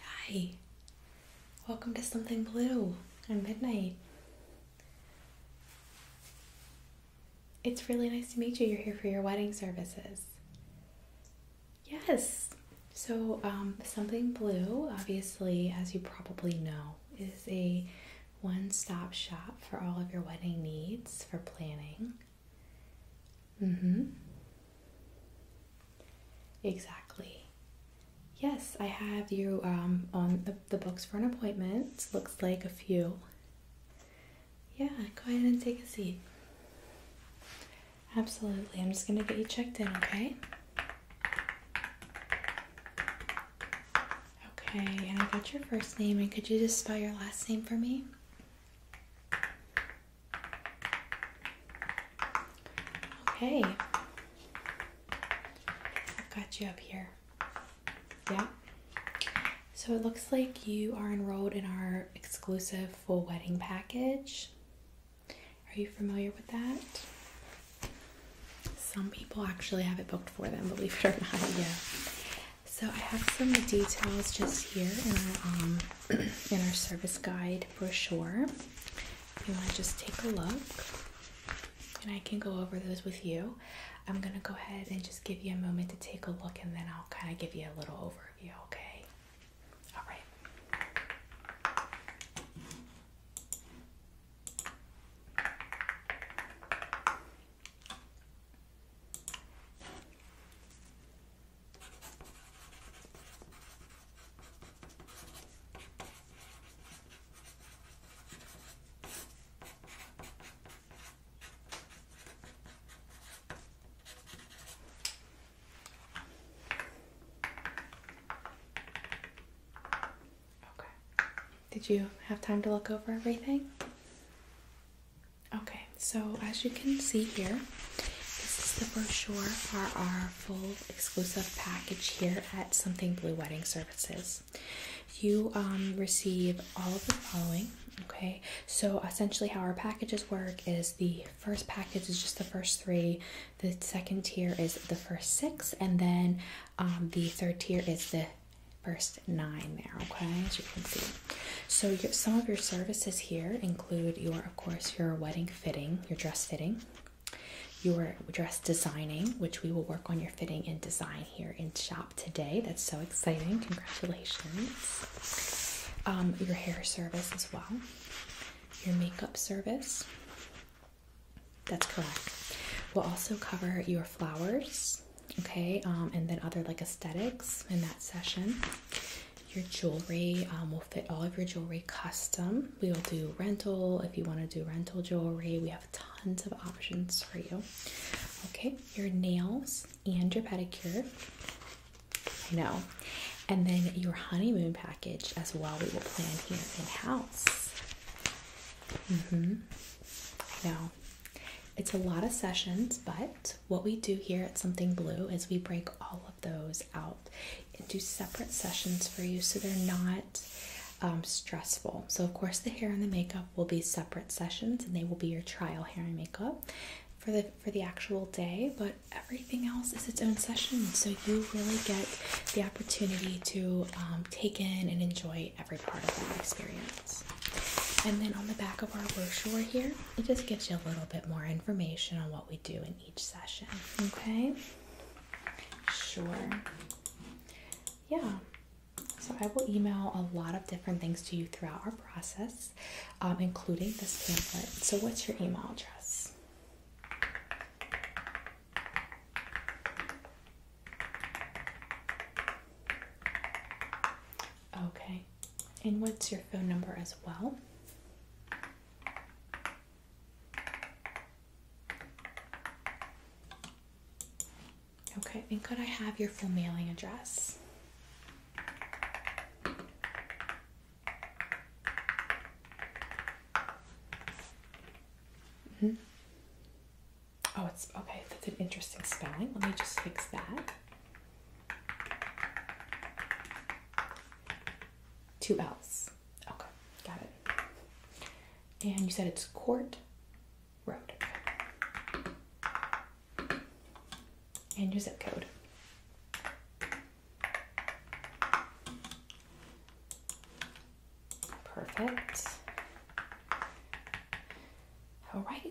Hi, welcome to Something Blue and midnight. It's really nice to meet you. You're here for your wedding services. Yes, so um, Something Blue, obviously, as you probably know, is a one stop shop for all of your wedding needs for planning. Mm-hmm. Exactly. Yes, I have you um, on the, the books for an appointment. Looks like a few. Yeah, go ahead and take a seat. Absolutely. I'm just going to get you checked in, okay? Okay, and I got your first name, and could you just spell your last name for me? Okay. I've got you up here. Yeah. So it looks like you are enrolled in our exclusive full wedding package. Are you familiar with that? Some people actually have it booked for them, believe it or not. Yeah. So I have some details just here in our um, in our service guide brochure. If you want to just take a look, and I can go over those with you. I'm going to go ahead and just give you a moment to take a look, and then I'll kind of give you a little overview, okay? All right. Okay. Did you have time to look over everything? Okay, so as you can see here, this is the brochure for our full exclusive package here at Something Blue Wedding Services. You um, receive all of the following. Okay, so essentially, how our packages work is the first package is just the first three, the second tier is the first six, and then um, the third tier is the first nine there, okay, as you can see. So, some of your services here include your of course, your wedding fitting, your dress fitting, your dress designing, which we will work on your fitting and design here in shop today. That's so exciting. Congratulations. Um, your hair service as well, your makeup service. That's correct. We'll also cover your flowers, okay, um, and then other like aesthetics in that session your jewelry um, will fit all of your jewelry custom we will do rental if you want to do rental jewelry we have tons of options for you okay your nails and your pedicure i know and then your honeymoon package as well we will plan here in house hmm i it's a lot of sessions but what we do here at something blue is we break all those out into separate sessions for you so they're not um, stressful. So, of course, the hair and the makeup will be separate sessions and they will be your trial hair and makeup. For the, for the actual day, but everything else is its own session, so you really get the opportunity to um, take in and enjoy every part of that experience. And then on the back of our brochure here, it just gives you a little bit more information on what we do in each session, okay? Sure. Yeah. So I will email a lot of different things to you throughout our process, um, including this pamphlet. So what's your email address? Okay. And what's your phone number as well? Okay, and could I have your full mailing address? hmm Oh, it's okay. That's an interesting spelling. Let me just fix that. Two L's. Okay, got it. And you said it's Court Road. And your zip code. Perfect. All right,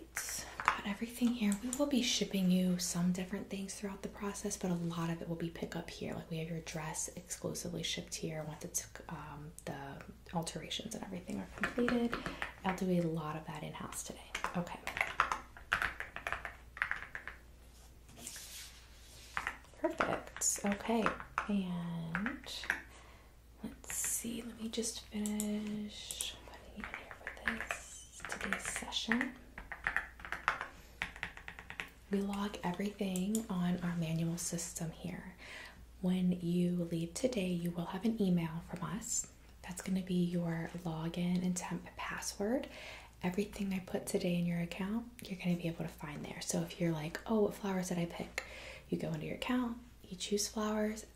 got everything here. We will be shipping you some different things throughout the process, but a lot of it will be pick up here. Like we have your dress exclusively shipped here once um, the alterations and everything are completed. I'll do a lot of that in house today. Okay. Perfect. Okay. And let's see. Let me just finish putting in here for this today's session. We log everything on our manual system here. When you leave today, you will have an email from us. That's going to be your login and temp password. Everything I put today in your account, you're going to be able to find there. So if you're like, oh, what flowers did I pick? You go into your account, you choose flowers,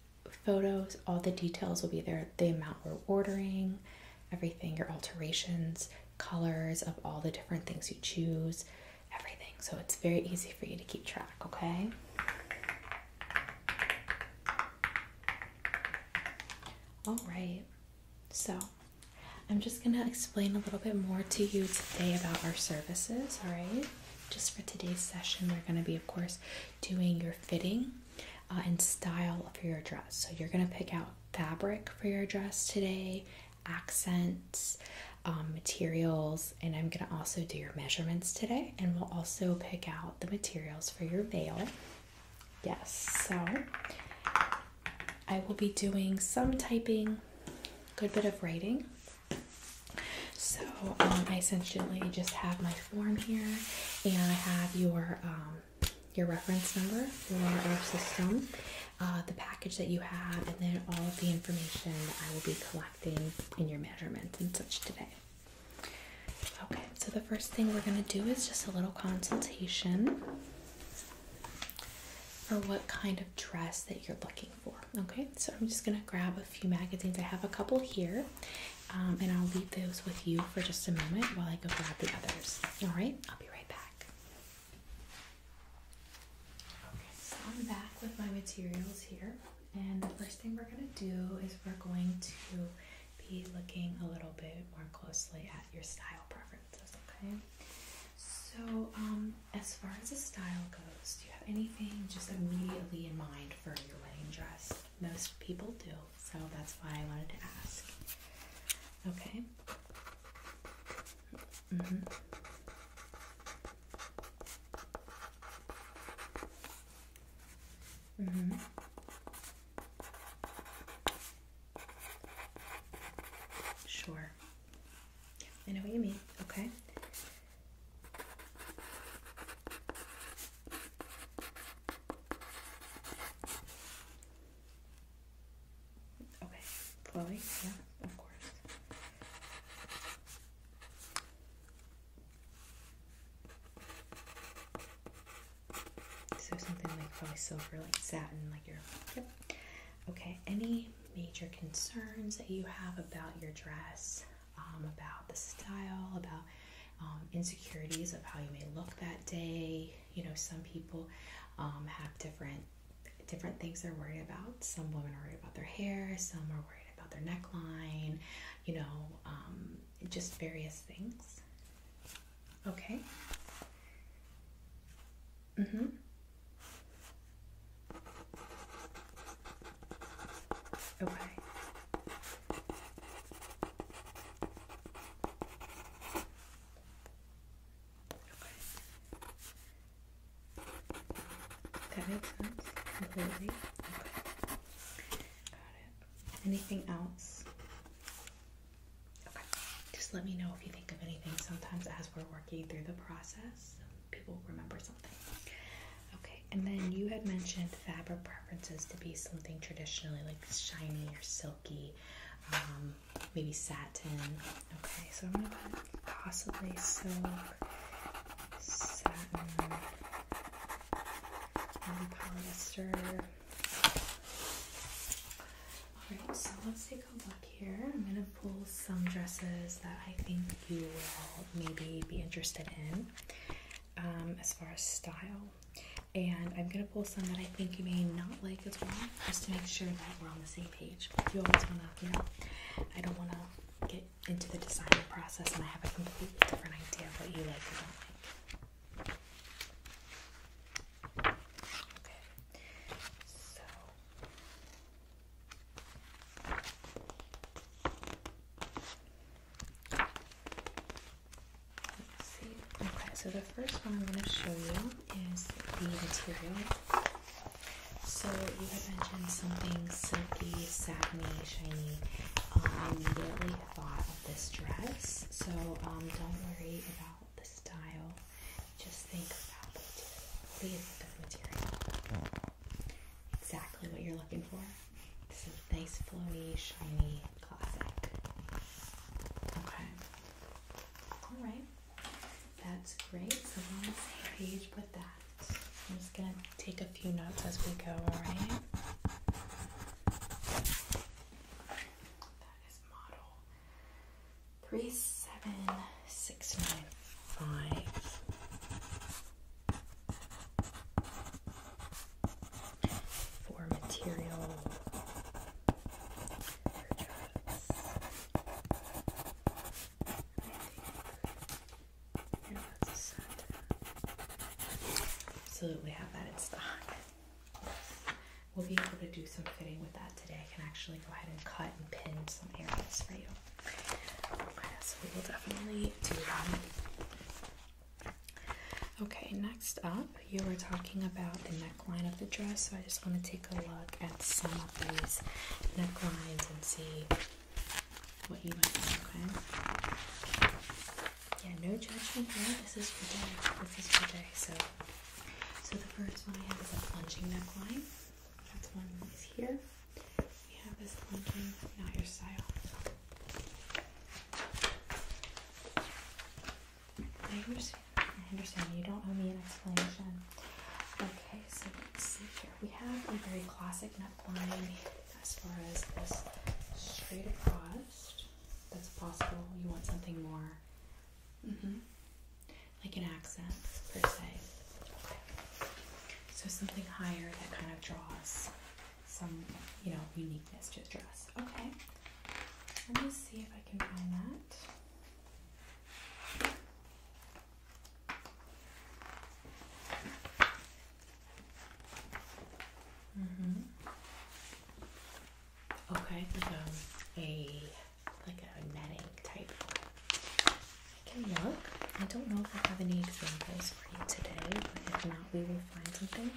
photos, all the details will be there the amount we're ordering, everything, your alterations, colors of all the different things you choose, everything. So it's very easy for you to keep track, okay? All right, so I'm just gonna explain a little bit more to you today about our services, all right? Just for today's session, we're gonna be, of course, doing your fitting uh, and style of your dress. So you're gonna pick out fabric for your dress today, accents, um, materials, and I'm going to also do your measurements today. And we'll also pick out the materials for your veil. Yes, so I will be doing some typing, good bit of writing. So um, I essentially just have my form here, and I have your um, your reference number for our system, uh, the package that you have, and then all of the information that I will be collecting in your measurements and such today. Okay, so the first thing we're going to do is just a little consultation for what kind of dress that you're looking for. Okay, so I'm just going to grab a few magazines. I have a couple here, um, and I'll leave those with you for just a moment while I go grab the others. All right, I'll be right back. Okay, so I'm back with my materials here, and the first thing we're going to do is we're going to be looking a little bit more closely at your style preferences, okay? So, um, as far as the style goes, do you have anything just immediately in mind for your wedding dress? Most people do, so that's why I wanted to ask. Okay, Mm -hmm. Mm -hmm. Sure. I know what you mean. Okay. Okay, Chloe, yeah, of course. So something like probably silver, like satin, like your yep. Okay, any major concerns that you have about your dress, um, about the style, about um, insecurities of how you may look that day, you know some people um, have different different things they're worried about some women are worried about their hair some are worried about their neckline you know um, just various things okay mm-hmm okay that makes sense completely. Okay. Got it. Anything else? Okay. Just let me know if you think of anything. Sometimes as we're working through the process, people remember something. Okay, and then you had mentioned fabric preferences to be something traditionally like shiny or silky. Um, maybe satin. Okay, so I'm gonna possibly silk, satin, polyester. Alright, so let's take a look here. I'm gonna pull some dresses that I think you will maybe be interested in um, as far as style. And I'm gonna pull some that I think you may not like as well just to make sure that we're on the same page. You always want to, you know, I don't want to get into the design process and I have a completely different idea of what you like or don't like. Okay, so. Let's see. Okay, so the first one I'm going to show you is the material. So you had mentioned something silky, satiny, shiny. Um, I immediately thought of this dress. So um, don't worry about the style. Just think about the material. the material? Exactly what you're looking for. This is nice, flowy, shiny, classic. Okay. All right. That's great. So we're page with that. I'm just gonna take a few notes as we go, alright? That is model three seven six nine five. material Absolutely have that in stock. We'll be able to do some fitting with that today. I can actually go ahead and cut and pin some areas for you. Okay, so we will definitely do that. Okay, next up, you were talking about the neckline of the dress, so I just want to take a look at some of these necklines and see what you like, okay? Yeah, no judgment here. This is for day. This is for day. So, so the first one I have is a plunging neckline. That's one is here. We have this plunging, not your style. I understand. You don't owe me an explanation. Okay, so let's see here. We have a very classic neckline as far as this straight across. That's possible. You want something more, mm-hmm, like an accent per se. So something higher that kind of draws some, you know, uniqueness to the dress. Okay. Let me see if I can find that. Mm-hmm. Okay, um, a like a netting type. I look. I don't know if I have any examples for you today, but if not, we will find something.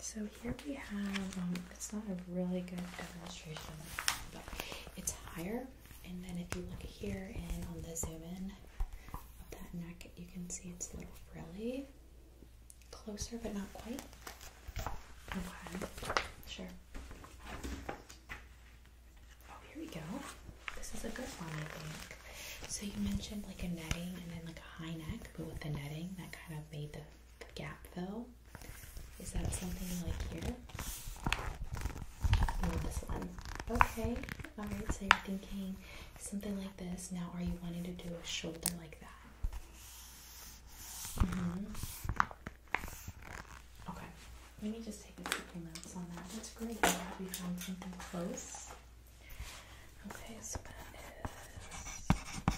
So here we have, um, it's not a really good demonstration, but it's higher. And then if you look here and on the zoom in, of that neck. You can see it's a little frilly. Closer, but not quite. Okay, sure. Oh, here we go. This is a good one, I think. So you mentioned like a netting and then like a high neck, but with the netting that kind of made the, gap fill. Is that something like here? this one. Okay. Alright, so you're thinking something like this. Now, are you wanting to do a shoulder like that? Mm-hmm. Okay, let me just take a couple notes on that. That's great. we found something close. Okay, Let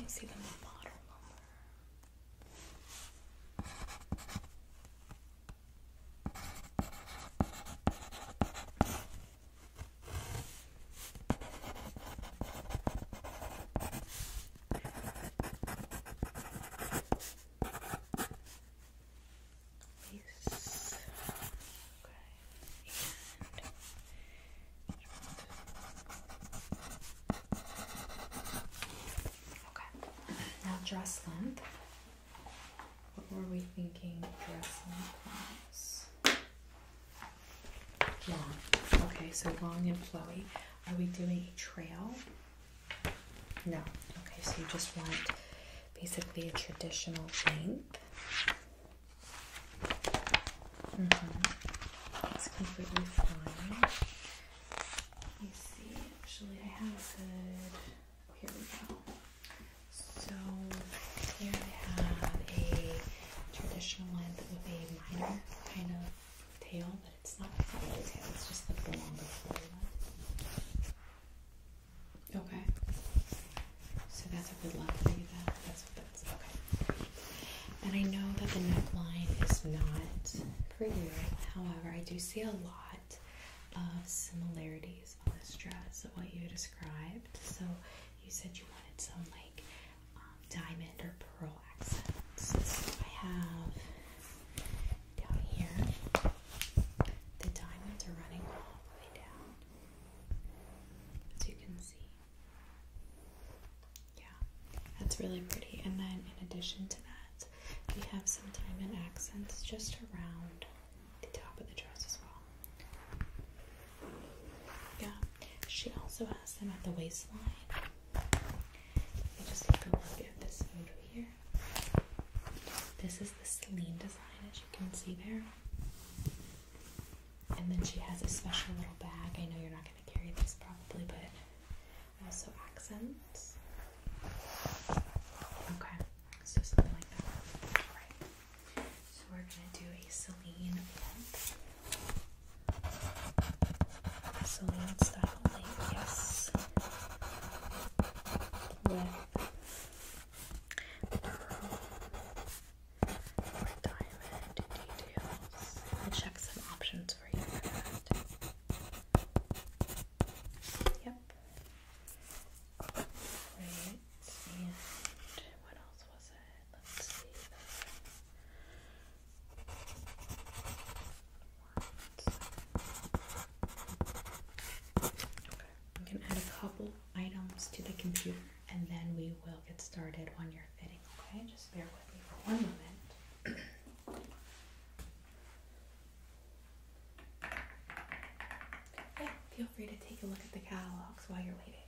me see the model number. Okay. okay. Now dress length. What were we thinking dress length Long. Okay, so long and flowy. Are we doing a trail? No. Okay, so you just want basically a traditional length. Mm completely fine. Let me see. Actually, I have a good. Here we go. So here I have a traditional length with a minor kind of tail, but it's not, it's a tail, it's just the longer flowing one. Okay. So that's a good length for you that that's what that's okay. And I know that the neckline is not for you. However, I do see a lot of similarities on this dress of what you described. So you said you wanted some like um, diamond or pearl accents. I have down here the diamonds are running all the way down, as you can see. Yeah, that's really pretty. And then in addition to that, we have some diamond accents just around the top of the dress as well. Yeah, she also has them at the waistline. just take a look at this photo here. This is the Celine design, as you can see there. And then she has a special little bag. I know you're not going to carry this probably, but also accents. Okay, so something like that. All right. So we're going to do a Celine lamp. Celine style yes. With diamond details. I'll check some options for you for that. Yep. Right, and what else was it? I'm gonna add a couple items to the computer and then we will get started on your fitting. Okay, just bear with me for one moment. yeah, feel free to take a look at the catalogs while you're waiting.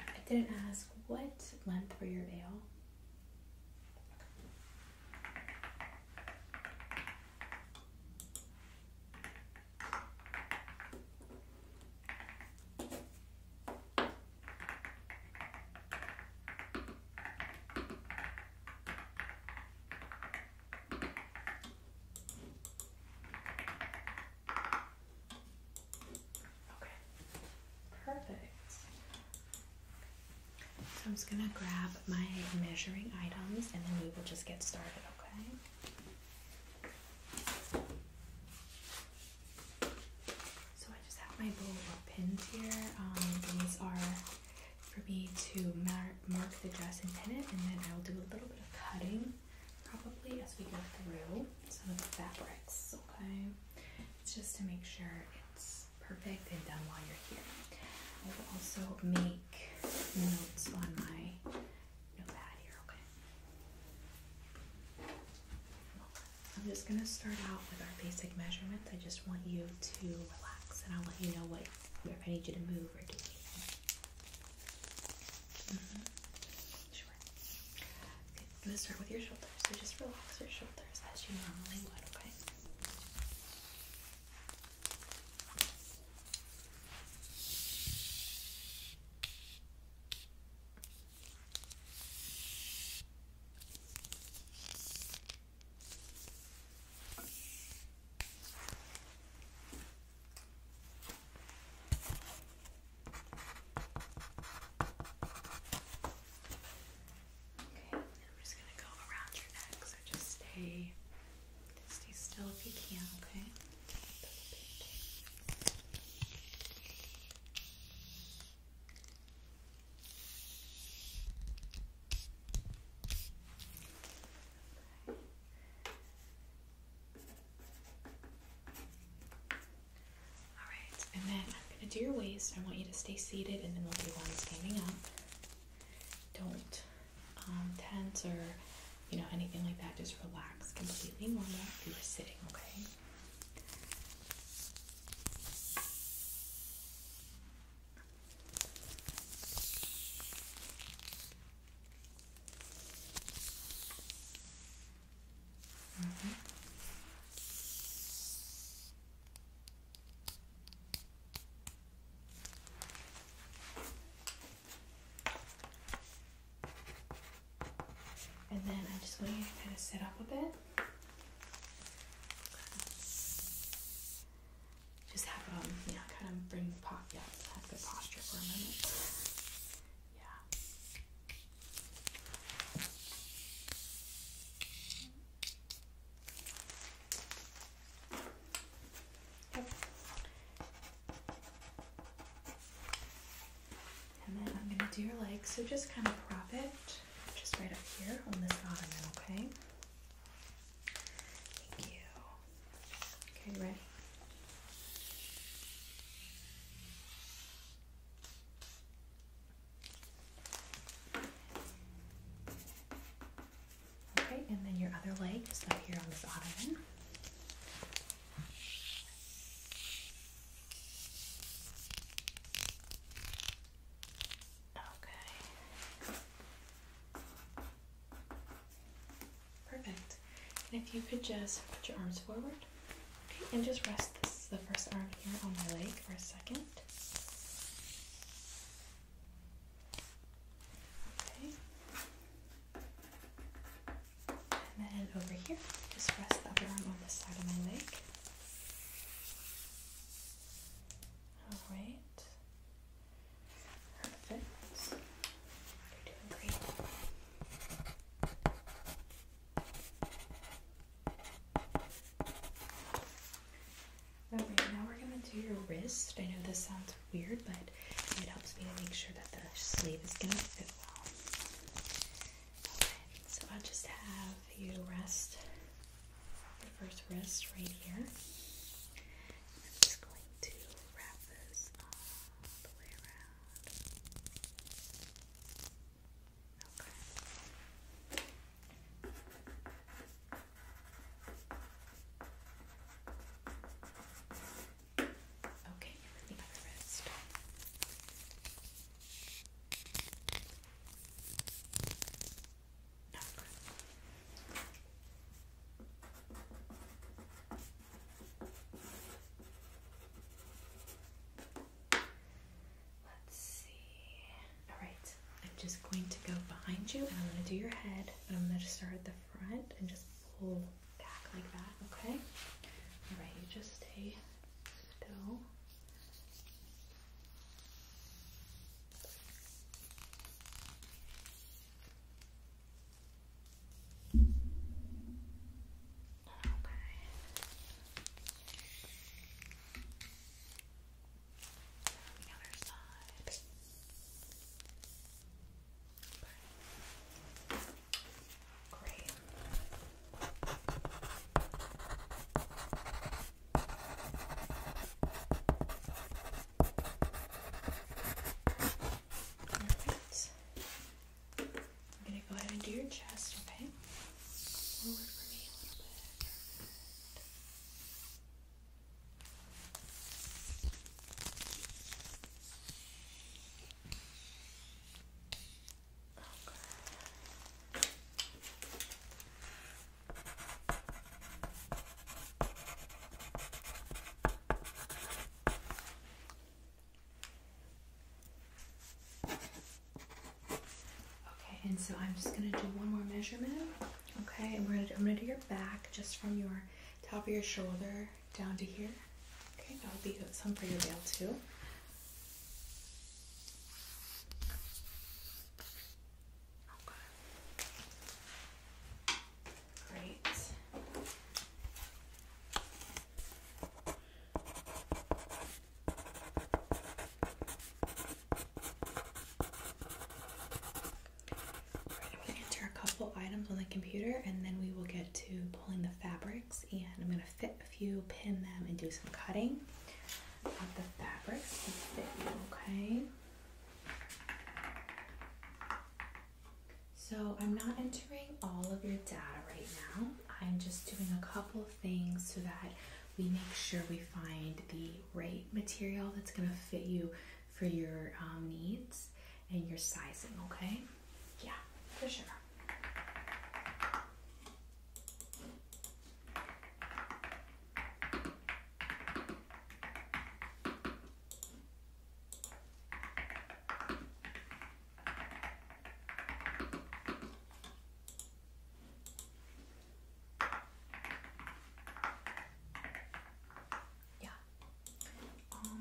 I didn't ask what length for your veil. Okay, perfect. So I'm just gonna grab my measuring items and then we will just get started, okay? So I just have my bowl of pins here. Um, these are for me to mark the dress and pin it, and then I will do a little bit of cutting probably as we go through some of the fabrics, okay? It's just to make sure it's perfect and done while you're here. I will also make notes on my notepad here, okay? I'm just gonna start out with our basic measurements. I just want you to relax and I'll let you know what if I need you to move or do anything. Mm-hmm sure. Okay, I'm gonna start with your shoulders. So just relax your shoulders as you normally would, Okay, Okay, I'm just gonna go around your neck, so just stay stay still if you can, okay? Okay. Alright, and then I'm going to do your waist. I want you to stay seated and then we'll be one standing up. Don't um, tense or, you know, anything like that. Just relax completely normal you are sitting, Okay, Mm-hmm. And then I just want you to kind of sit up a bit. Just have um, you know, kind of bring pop, yeah, have good posture for a minute. And then I'm going to do your legs. So just kind of prop it just right up here on this bottom. okay? Thank you. Okay, ready? Okay, and then your other leg is up here on this ottoman. Okay. Perfect. And if you could just put your arms forward and just rest the first arm here on my leg for a second. Okay. And then over here, just rest the other arm on this side of my leg. Alright. Perfect. You're doing great. Okay, now we're gonna do your wrist. I know this sounds weird, but it helps me to make sure that the sleeve is gonna fit well. Okay, so I'll just have you rest your first wrist right here. I'm just going to wrap this all the way around. Okay. Okay, everything by the wrist. No. Okay. Let's see. All right, I'm just going to go behind you and I'm going to do your head But I'm going to start at the front and just pull back like that, okay? All right, you just stay still the other side. Okay. Great. Alright. I'm gonna go ahead and do your chest, okay? Forward for me a little bit. Okay. Okay, and so I'm just gonna do one more measurement. Okay, and we're gonna, I'm gonna do your back just from your top of your shoulder down to here. Okay, that'll be some for your veil too. Okay. Great. I'm going to enter a couple items on the computer and then we will get to pulling the fabrics and I'm going to fit a few, pin them, and do some cutting of the fabrics okay? So I'm not entering entering all of your data right now. I'm just doing a couple of things so that we make sure we find the right material that's going to fit you for your um, needs and your sizing, okay? Yeah, for sure. Yeah, almost.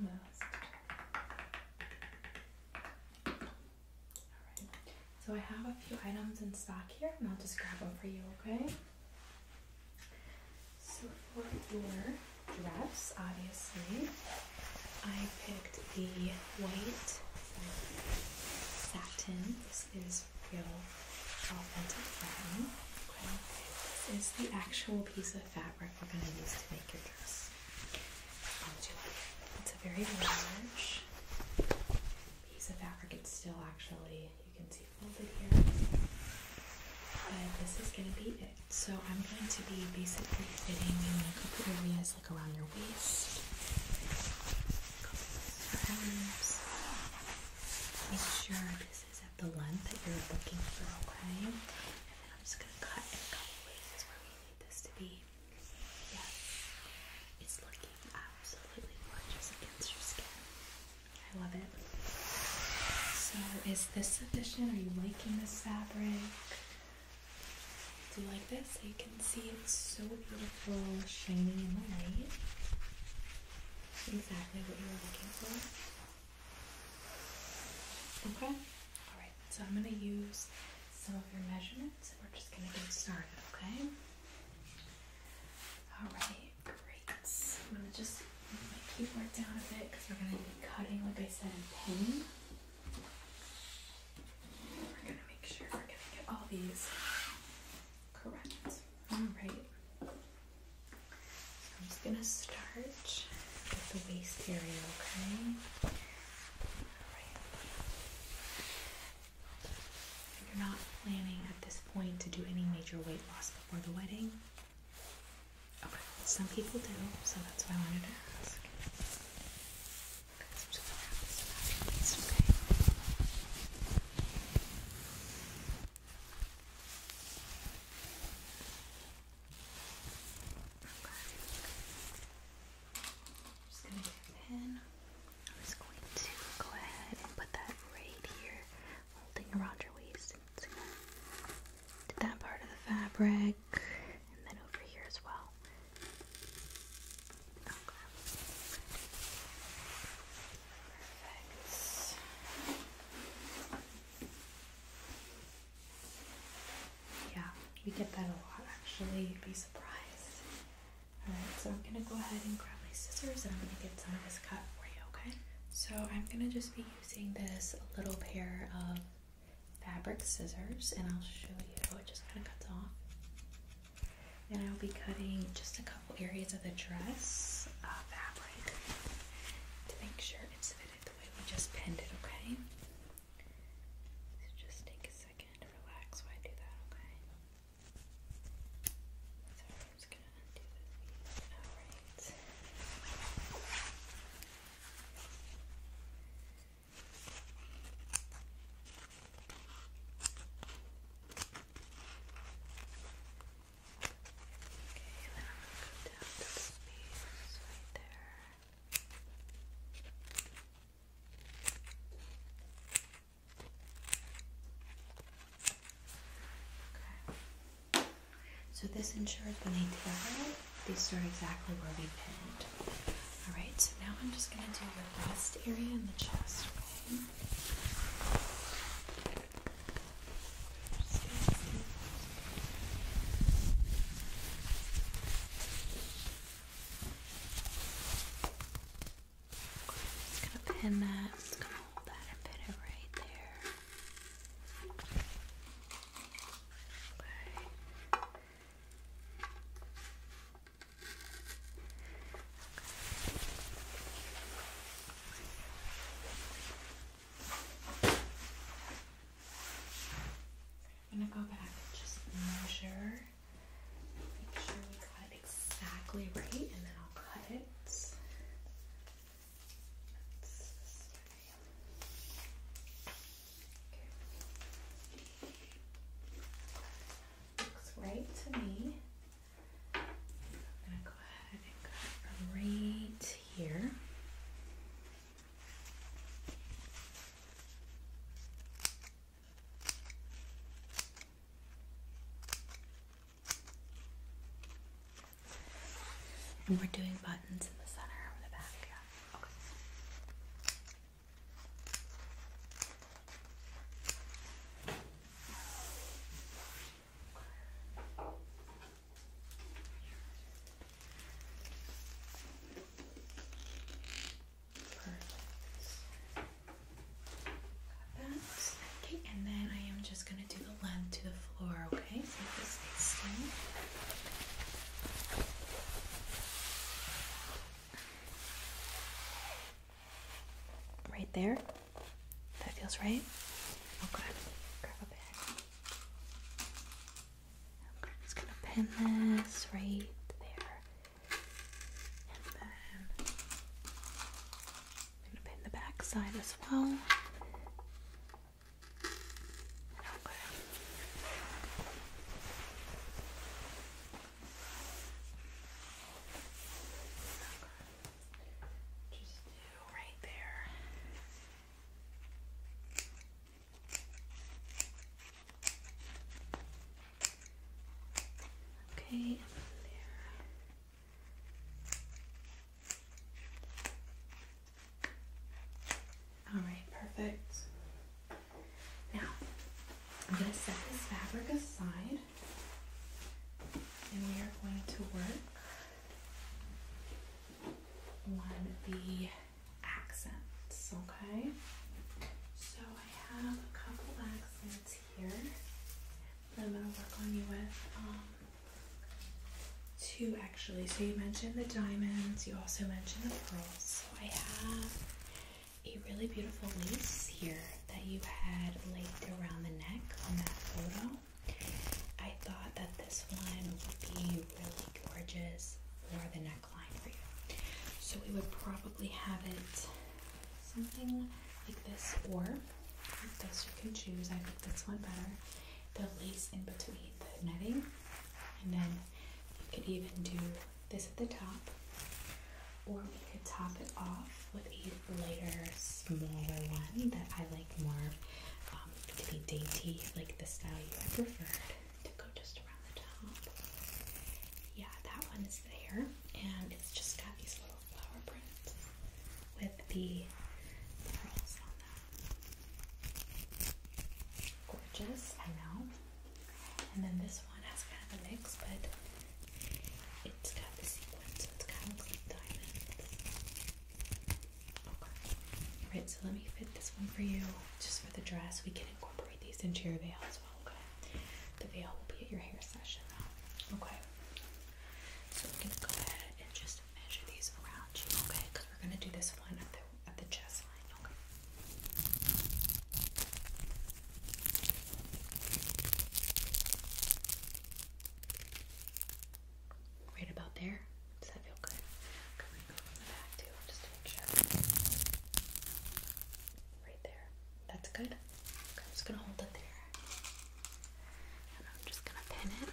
All right. So I have a few items in stock here, and I'll just grab them for you, okay? So for your dress, obviously, I picked the white satin. This is real authentic satin. This is the actual piece of fabric we're going to use to make your dress. It's a very large piece of fabric. It's still actually, you can see folded here. But this is going to be it. So I'm going to be basically fitting in a couple areas around your waist, Make sure this is at the length that you're looking for, okay? And then I'm just gonna cut in a couple places where we need this to be. Yes, it's looking absolutely gorgeous against your skin. I love it. So, is this sufficient? Are you liking this fabric? do you like this so you can see it's so beautiful, shining in the light. Exactly what you were looking for. Okay? Alright, so I'm going to use some of your measurements and we're just going to get started, okay? Alright, great. I'm going to just move my keyboard down a bit because we're going to be cutting, like I said, in pen. We're gonna make sure we're gonna get all these correct. Alright. I'm just gonna start with the waist area, okay? You're not planning at this point to do any major weight loss before the wedding? Okay. Some people do, so that's why I wanted to ask. I'm just going to wrap to get a pin. I'm going to go ahead and put that right here, holding around your waist. It's that part of the fabric and then over here as well. Okay. Perfect. Yeah, we get that a lot actually. You'd be surprised. Alright, so I'm gonna go ahead and grab my scissors and I'm gonna get some of this cut for you, okay? So I'm gonna just be using this little pair of fabric scissors and I'll show you. It just kind of cuts off. And I'll be cutting just a couple areas of the dress uh, fabric to make sure it's fitted the way we just pinned it, okay? So just take a second to relax while I do that, okay? then I'm going to go down this piece right there. Okay. So this ensures when I tailed, these start exactly where we pinned. All right, so now I'm just going to do your wrist area and the chest. Okay? Just gonna pin that. just gonna hold that and pin it right there. Okay. I'm gonna go back and just measure, make sure we got exactly right, and then I'll cut it. Looks right to me. I'm gonna go ahead and cut right here. And we're doing buttons in the center of the back. Yeah. Okay, and then I am just gonna do the length to the floor, okay? So this is Right there. That feels right. Okay. Grab a just gonna pin this right there. And then I'm gonna pin the back side as well. Okay. Just do right there. Okay, there. All right, perfect. Now, I'm going to set this fabric aside and we are going to work on the accents, okay? So I have a couple accents here that I'm going to work on you with. Um, two actually. So you mentioned the diamonds, you also mentioned the pearls. So I have a really beautiful lace here that you had laid around the neck on that photo. I thought that this one would be really gorgeous for the neckline for you. So we would probably have it something like this or like this you can choose. I think this one better. The lace in between the netting and then you could even do this at the top, or we could top it off with a lighter, smaller one that I like more um, to be dainty, like the style you had preferred, to go just around the top. Yeah, that one is there, and it's just got these little flower prints with the pearls on them. Gorgeous, I know. And then this one has kind of a mix, but it's got the sequins, so it kind of like diamonds. Okay. Alright, so let me fit this one for you, just for the dress. We can incorporate these into your veil as well, okay? The veil will be at your hair session, though. Okay. So we're gonna go ahead and just measure these around you, okay? Because we're gonna do this one at the at the chest line, okay? Right about there. Does that feel good? I'm from the back too, just to make sure. Right there. That's good. I'm just gonna hold it there. And I'm just gonna pin it.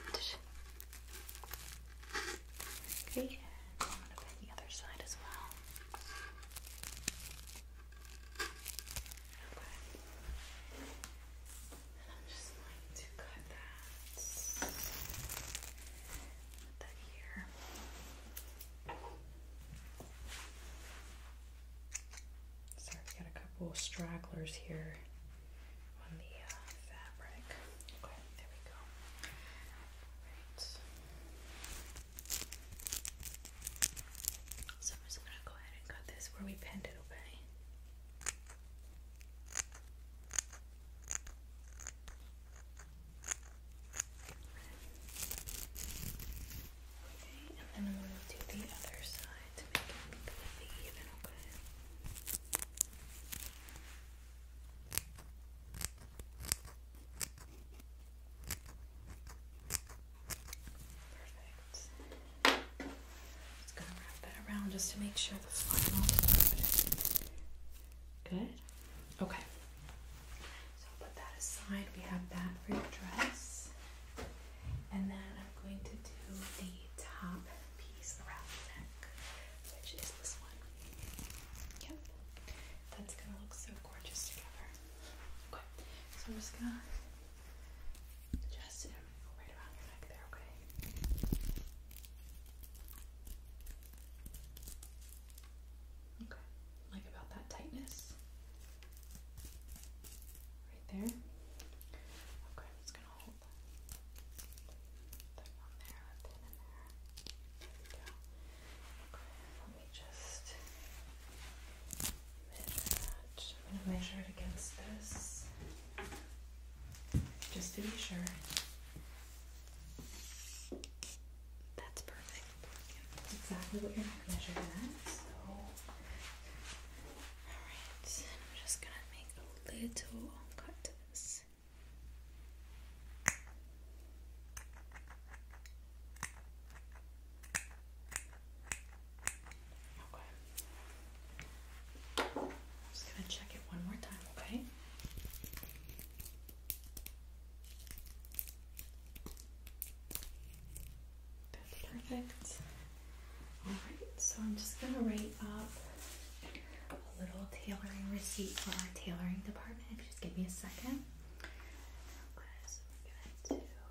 Okay, I'm gonna pin the other side as well. And I'm just going to cut that, put that here. Sorry, we got a couple stragglers here on the uh, fabric. Okay, there we go. Right. So I'm just gonna go ahead and cut this where we pinned it, away. Okay, and then I'm gonna do the other side to make it completely even, Okay, Perfect. Just gonna wrap that around just to make sure the final. Good. Okay. So put that aside. We have that for your dress, and then I'm going to do the top piece around the neck, which is this one. Yep. That's gonna look so gorgeous together. Okay, so I'm just gonna adjust it right around your neck there, okay? Okay, like about that tightness. Right there. Okay, I'm just gonna hold that. there, that pin in there. There we go. Okay, me just measure it. I'm going to measure it against this just to be sure. That's perfect. exactly what your neck measure is. So, alright, I'm just gonna make a little cut to this. Okay. just gonna check it one more time, okay? That's perfect. Alright, so I'm just gonna write up a little tailoring receipt for our tailoring department. Just give me a second. Okay, so we're gonna do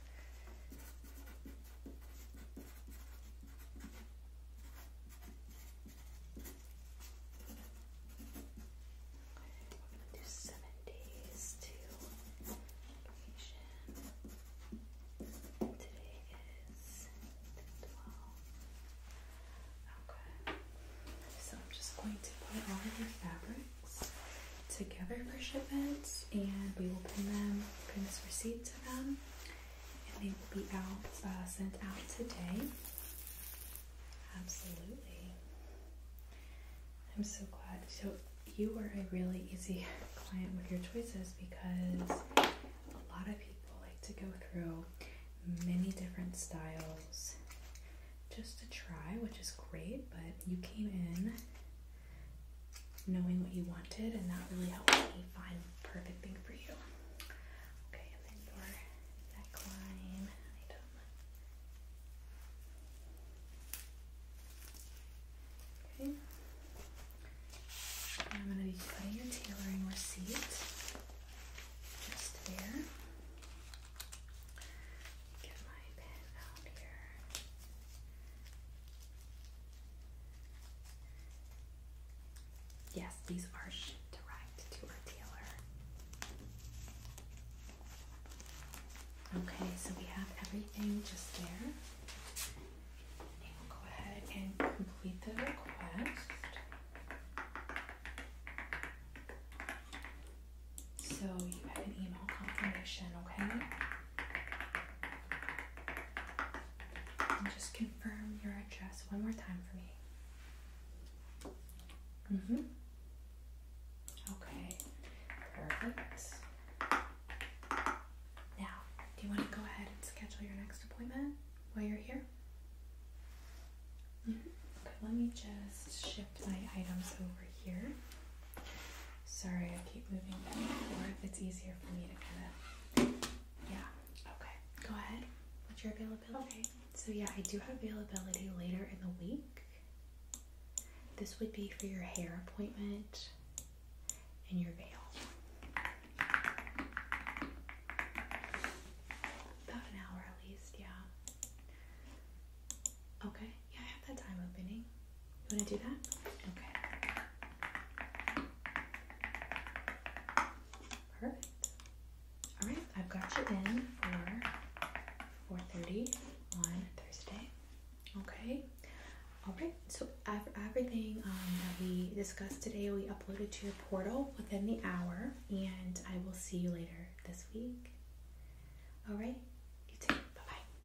We're gonna do seven days Today is the Okay. So I'm just going to put all of your fabric together for shipments and we will pin them, pin this receipt to them and they will be out, uh, sent out today. Absolutely. I'm so glad. So you were a really easy client with your choices because a lot of people like to go through many different styles just to try, which is great, but you came in knowing what you wanted, and that really helped me find the perfect thing for you. Okay, and then your neckline Okay. I'm going to be putting your tailoring receipt just there. Yes, these are shipped direct to our dealer. Okay, so we have everything just there. go ahead and complete the request. So you have an email confirmation, okay? And just confirm your address one more time for me. Mm hmm. Okay, perfect. Now, do you want to go ahead and schedule your next appointment while you're here? Mm-hmm. Okay, let me just shift my items over here. Sorry, I keep moving back It's easier for me to kind of. Yeah. Okay. Go ahead. What's your availability? Okay. So, yeah, I do have availability later in the week. This would be for your hair appointment and your veil. About an hour at least, yeah. Okay, yeah, I have that time opening. You want to do that? Okay. Perfect. All right, I've got you in for 4:30 on Thursday. Okay. All right. So everything um, that we discussed today, we uploaded to your portal within the hour, and I will see you later this week. All right. You too. Bye bye.